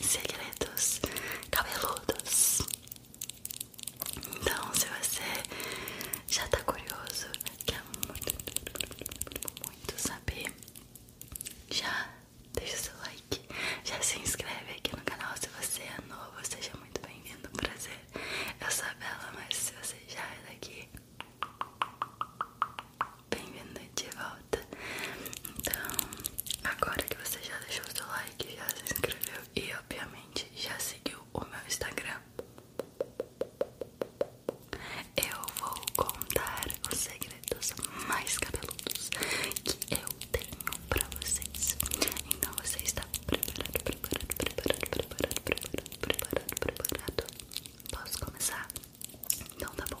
segredos cabeludos. Então, se você já tá curioso, quer muito, muito saber, já deixa seu like, já se inscreve aqui no canal. Se você é novo, seja muito bem-vindo, um prazer. Eu sou a Bela, mas se você já é daqui, bem-vindo de volta. Então, agora que você já deixou seu like, já se inscreveu e obviamente já seguiu o meu Instagram, eu vou contar os segredos mais cabeludos que eu tenho pra vocês. Então você está preparado, preparado, preparado, preparado, preparado, preparado, Posso começar? Então tá bom.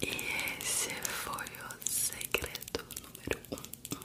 E esse foi o segredo número um.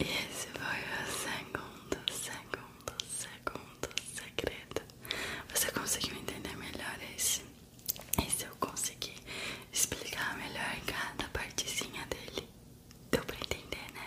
Esse foi o segundo, segundo, segundo segredo. Você conseguiu entender melhor esse? se eu conseguir explicar melhor cada partezinha dele. Deu pra entender, né?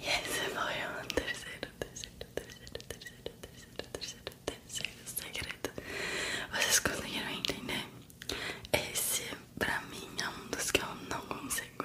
E esse foi o terceiro, terceiro, terceiro, terceiro, terceiro, terceiro, terceiro segredo. Vocês conseguiram entender? Esse, pra mim, é um dos que eu não consigo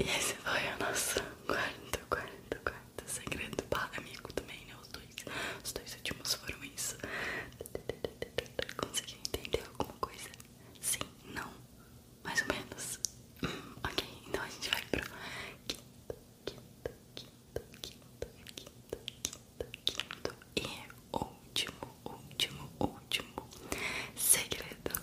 E esse foi o nosso quarto, quarto, quarto segredo para amigo também, né? Os dois, os dois últimos foram isso. Conseguiu entender alguma coisa? Sim, não, mais ou menos. Hum, ok, então a gente vai pro quinto, quinto, quinto, quinto, quinto, quinto, e é último, último, último segredo. Segredo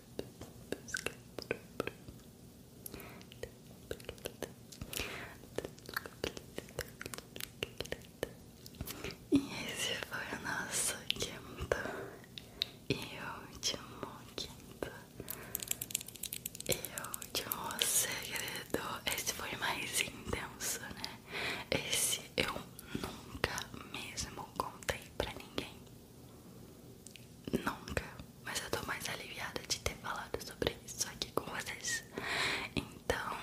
E esse foi o nosso quinto e último quinto e último segredo. Esse foi mais intenso, né? Esse eu nunca mesmo contei pra ninguém. Nunca, mas eu tô mais aliviada de ter falado sobre isso aqui com vocês. Então,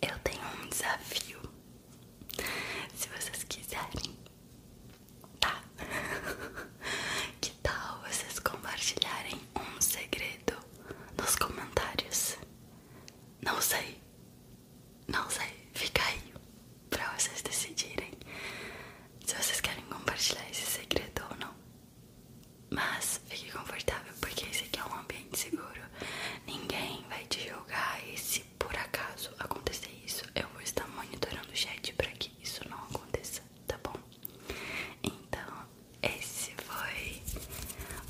eu tenho um desafio. Se vocês quiserem, tá? que tal vocês compartilharem um segredo nos comentários? Não sei, não sei, fica aí pra vocês decidirem se vocês querem compartilhar esse segredo ou não. Mas fique confortável porque esse aqui é um ambiente seguro. Ninguém vai te julgar e se por acaso acontecer isso, eu vou estar monitorando o chat para que isso não aconteça, tá bom? Então, esse foi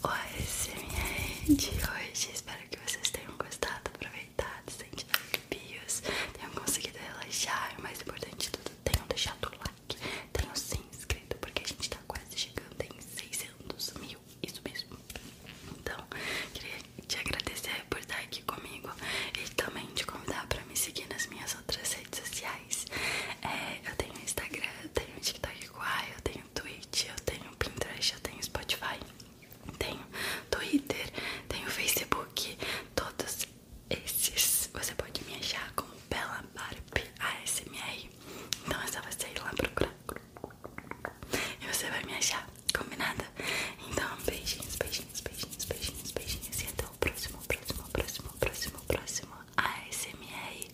o ASMR de hoje. Espero que vocês tenham gostado, aproveitado, sentido tenham conseguido relaxar. O mais importante de tudo, tenham deixado o like, tenham se inscrito, porque a gente tá quase chegando em 600 mil. Isso mesmo. Então, queria te agradecer por estar aqui comigo e também te convidar para me seguir nas minhas outras redes sociais. É, eu tenho Instagram, eu tenho TikTok eu tenho Twitch, eu tenho Pinterest, eu tenho Spotify, tenho Twitter, tenho Facebook, todos esses você pode me achar como Bella Barbie ASMR. Então é só você ir lá procurar. E você vai me achar, combinada? Então, beijinhos, beijinhos, beijinhos, beijinhos, beijinhos. E até o próximo, próximo, próximo, próximo, próximo ASMR.